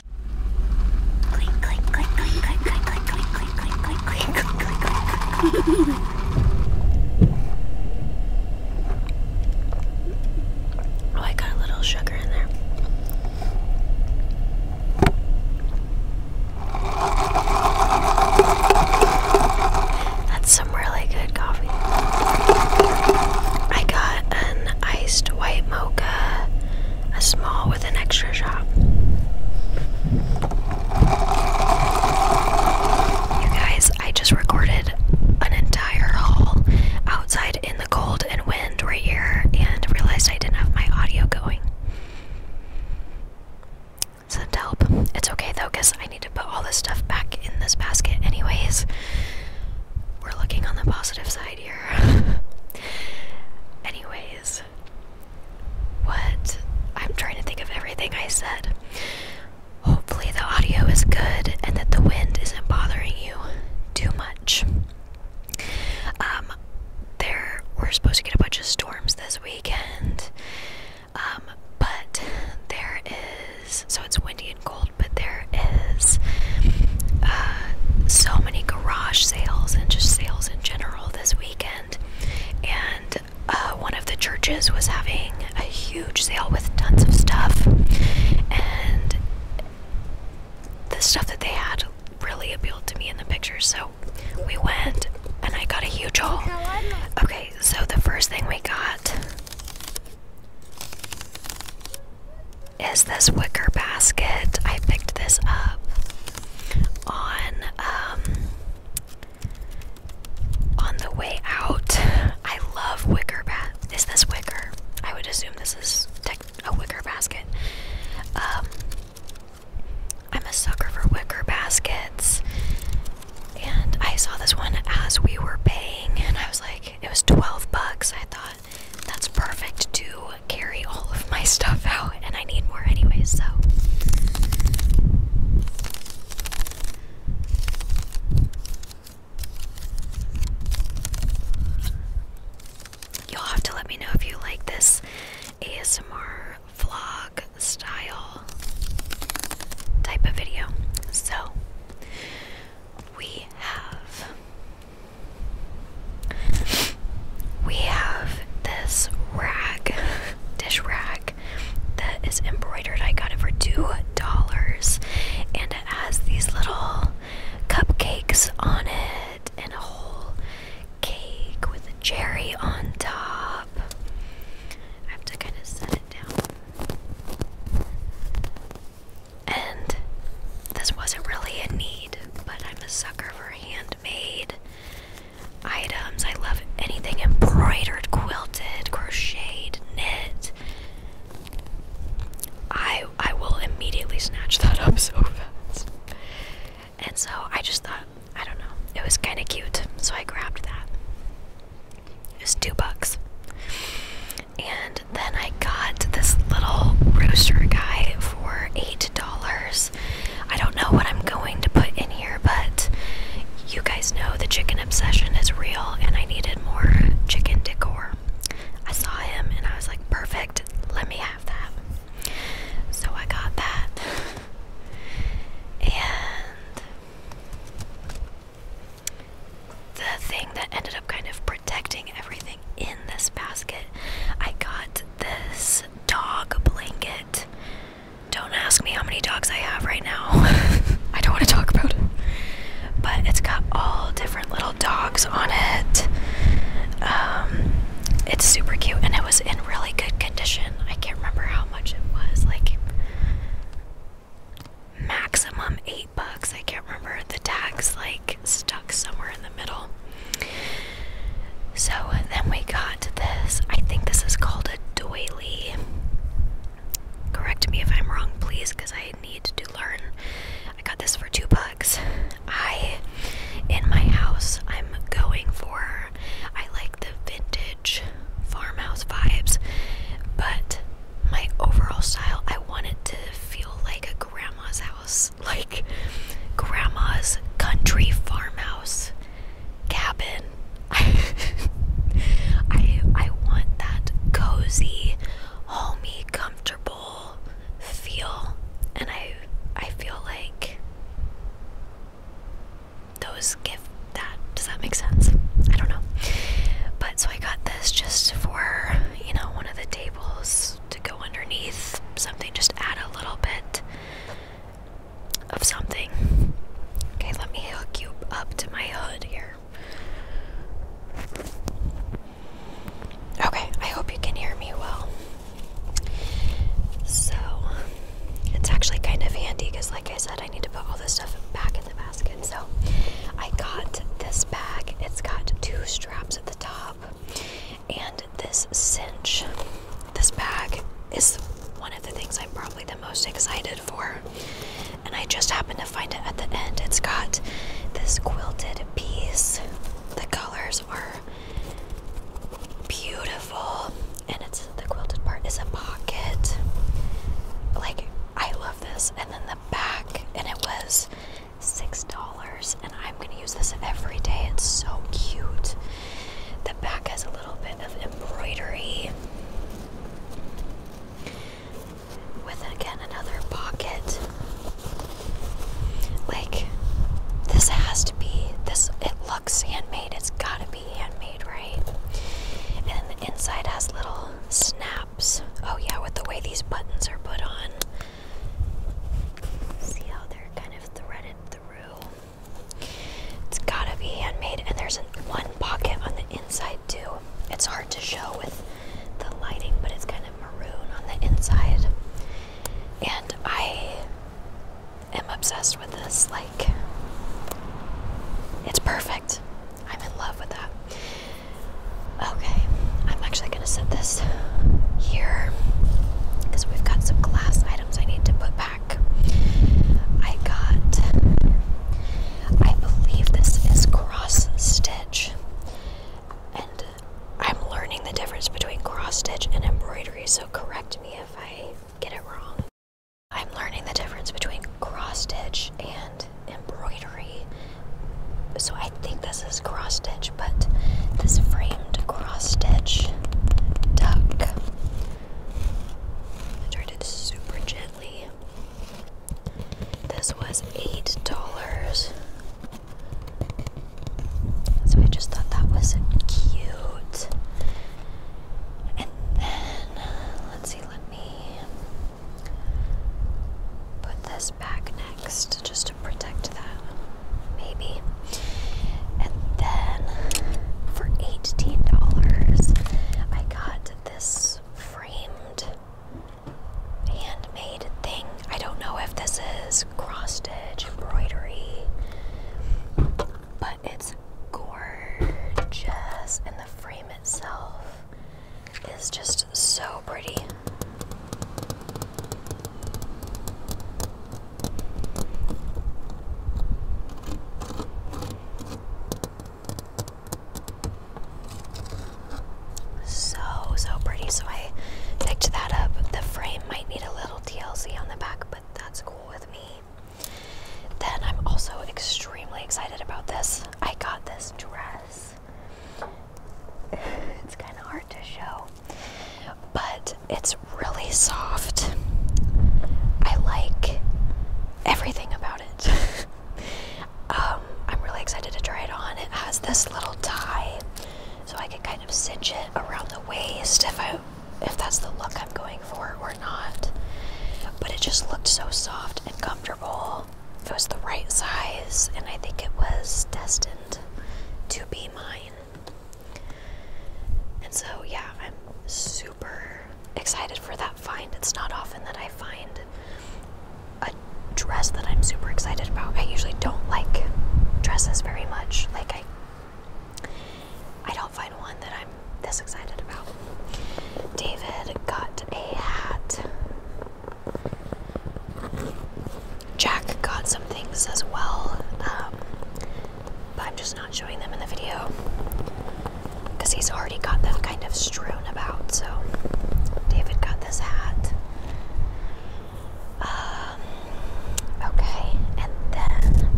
Oh, I got a little sugar in there. That's some really good coffee. I got an iced white mocha a small with an extra shop. You guys, I just recorded an entire haul outside in the cold and wind right here and realized I didn't have my audio going. So help. It's okay though, because I need to put all this stuff back in this basket anyways. We're looking on the positive side. Anyways, what? I'm trying to think of everything I said. Hopefully, the audio is good and that the wind isn't bothering you too much. Um, there we're supposed to get a bunch of storms this weekend. Um, but there is so it's windy and cold, but there is uh, so many garage sales and just sales in general this weekend. And uh, one of the churches was having a huge sale with tons of stuff. And the stuff that they had really appealed to me in the pictures. So we went and I got a huge haul. Okay, so the first thing we got is this wicker basket. I picked this up on um, on the way out. I love wicker bat. Is this wicker? I would assume this is a wicker basket. Um, I'm a sucker for wicker baskets. And I saw this one as we were paying and I was like it was 12 bucks. I thought that's perfect to carry all of my stuff out, and I need more anyway, so. You'll have to let me know if you like this ASMR vlog style type of video. So, we have we have this rag, dish rag, that is embroidered. I got it for $2. And it has these little cupcakes on it and a whole cake with a cherry on top. I have to kind of set it down. And this wasn't really a need, but I'm a sucker for handmade items. I love anything embroidered, quilted, crocheted, knit. I I will immediately snatch that up so fast. And so I just thought, I don't know, it was kind of cute, so I grabbed that. It was two bucks. And then I got this little rooster guy for $8. I don't know what I'm going to put in here, but you guys know the chicken obsession is real and I needed more chicken decor. I saw him and I was like, perfect, let me have that. So I got that. And the thing that ended up kind of protecting everything in this basket. I got this dog blanket. Don't ask me how many dogs I have right now. I don't want to talk about it. But it's got all different little dogs on it. Um, it's super cute and it was in really good condition. I can't remember how much it was. Like maximum eight bucks. I can't remember the tags like stuck somewhere in the middle. So then we got this. I think this is called a doily. Correct me if I'm wrong, please, because I need to learn. I got this for two bucks. I in my house I'm going for I like the vintage farmhouse vibes, but my overall style, I want it to feel like a grandma's house, like grandma's country farmhouse cabin. I, I, I want that cozy, homey, comfortable feel, and I I feel like those give that. Does that make sense? I don't know. But so I got this just for you know, one of the tables to go underneath something, just add a little bit of something. Okay, let me hook you up to my hood here. Okay, I hope you can hear me well. So, it's actually kind of handy because, like I said, I need to put all this stuff back the basket. So I got this bag. It's got two straps at the top, and this cinch. This bag is one of the things I'm probably the most excited for. And I just happened to find it at the end. It's got this quilted piece. The colors are beautiful. And it's the quilted part is a pocket. Like I love this. And then the back and it was $6 and I'm going to use this every day. It's so cute. The back has a little bit of embroidery with again another pocket. Like this has to be this it looks handmade. It's got to be handmade, right? And then the inside has little snaps Oh, yeah, with the way these buttons are put on. See how they're kind of threaded through? It's gotta be handmade, and there's one pocket on the inside, too. It's hard to show with the lighting, but it's kind of maroon on the inside. And I am obsessed with this. Like, it's perfect. I'm in love with that. Okay, I'm actually gonna set this here because we've got some glass items I need to put back. I got, I believe this is cross stitch, and I'm learning the difference between cross stitch and embroidery, so correct me if I get it wrong. I'm learning the difference between cross stitch and embroidery. So I think this is cross stitch, but this framed cross stitch duck. I tried it super gently. This was eight dollars. So I just thought that was cute. And then let's see, let me Put this back next just to protect that, maybe. And then for $18, I got this framed handmade thing. I don't know if this is cross stitch, embroidery, but it's gorgeous. And the frame itself is just so pretty. So, so pretty. So, I picked that up. The frame might need a little TLC on the back, but that's cool with me. Then I'm also extremely excited about this. I got this dress. it's kind of hard to show, but it's really soft. I like everything about it. Um, I'm really excited to try it on. It has this little tie, so I can kind of cinch it around the waist if I if that's the look I'm going for, not. But it just looked so soft and comfortable. It was the right size, and I think it was destined to be mine. And so, yeah, I'm super excited for that find. It's not often that I find a dress that I'm super excited about. I usually don't like dresses very much. Like I I don't find one that I'm this excited about. David got a hat. Jack got some things as well, um, but I'm just not showing them in the video because he's already got them kind of strewn about. So, David got this hat. Um, okay, and then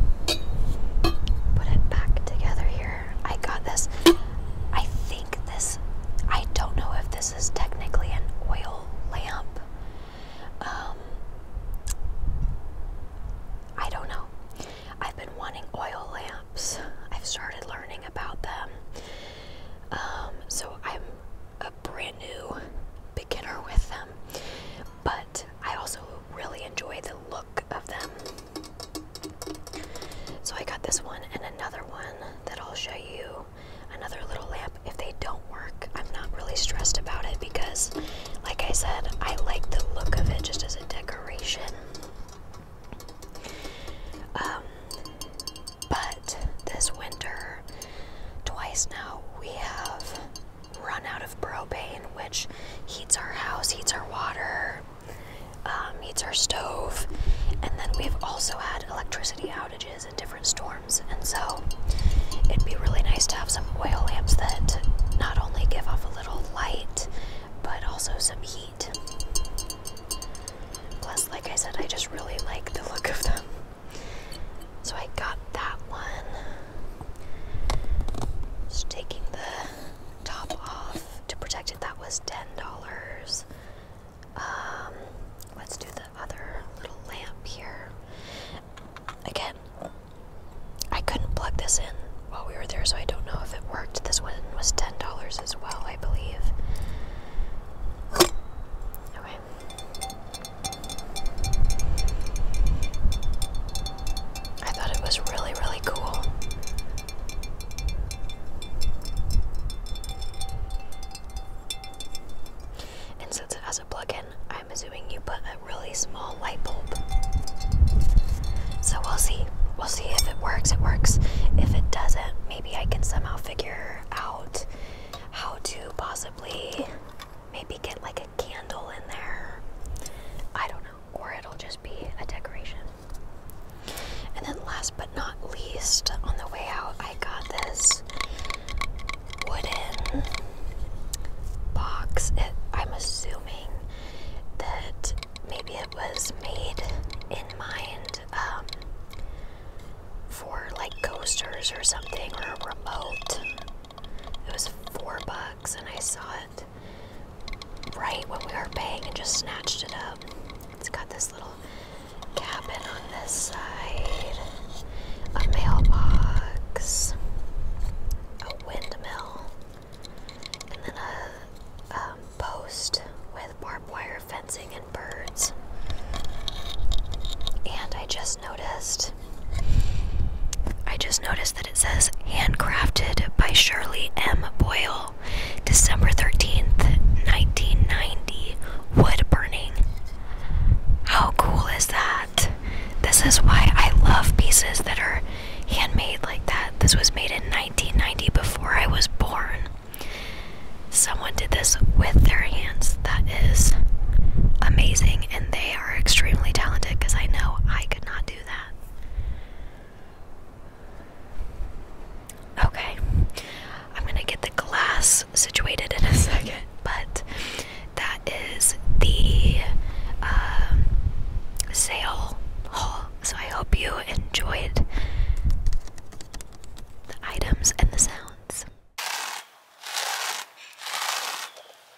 put it back together here. I got this. I think this, I don't know if this is technically an oil lamp. Um, I don't know. I've been wanting oil lamps, I've started learning about them. Um, so I'm a brand new beginner with them, but I also really enjoy the look of them. So I got this one and another one that I'll show you. Another little lamp. If they don't work, I'm not really stressed about it because, like I said, I like the look of it just as a decoration. Um, but this winter, twice now, we have run out propane, which heats our house, heats our water, um, heats our stove. And then we've also had electricity outages and different storms. And so it'd be really nice to have some oil lamps that not only give off a little light, but also some heat. Plus, like I said, I just really like the look of them. So I got that one. Just taking the top off to protect it. That was ten dollars. Um, let's do the other little lamp here. Again, I couldn't plug this in while we were there, so I don't know if it worked. This one was ten dollars as well, I believe. Okay. I thought it was really, really cool. And since it has a plug-in, I'm assuming you put a really small light bulb. So we'll see. We'll see if it works. It works. If it doesn't, maybe I can somehow figure out how to possibly maybe get like a candle in there. I don't know or it'll just be a decoration. And then, last but not least, on the way out, I got this wooden box. I'm assuming that maybe it was made in mind um, for like coasters or something or a remote. It was four bucks, and I saw it right when we were paying and just snatched it up. It's got this little cabin on this side, a mailbox, a windmill, and then a um, post with barbed wire fencing and birds. And I just noticed I just noticed that it says handcrafted by Shirley M. Boyle, December 13th, 1990, wood burning. How cool is that? This is why I love pieces that are handmade like that. This was made in 1990 before I was born. Someone did this with their hands. That is amazing, and they are extremely talented because I know I could. Okay. I'm going to get the glass situated in a second, but that is the uh, sale haul. So I hope you enjoyed the items and the sounds.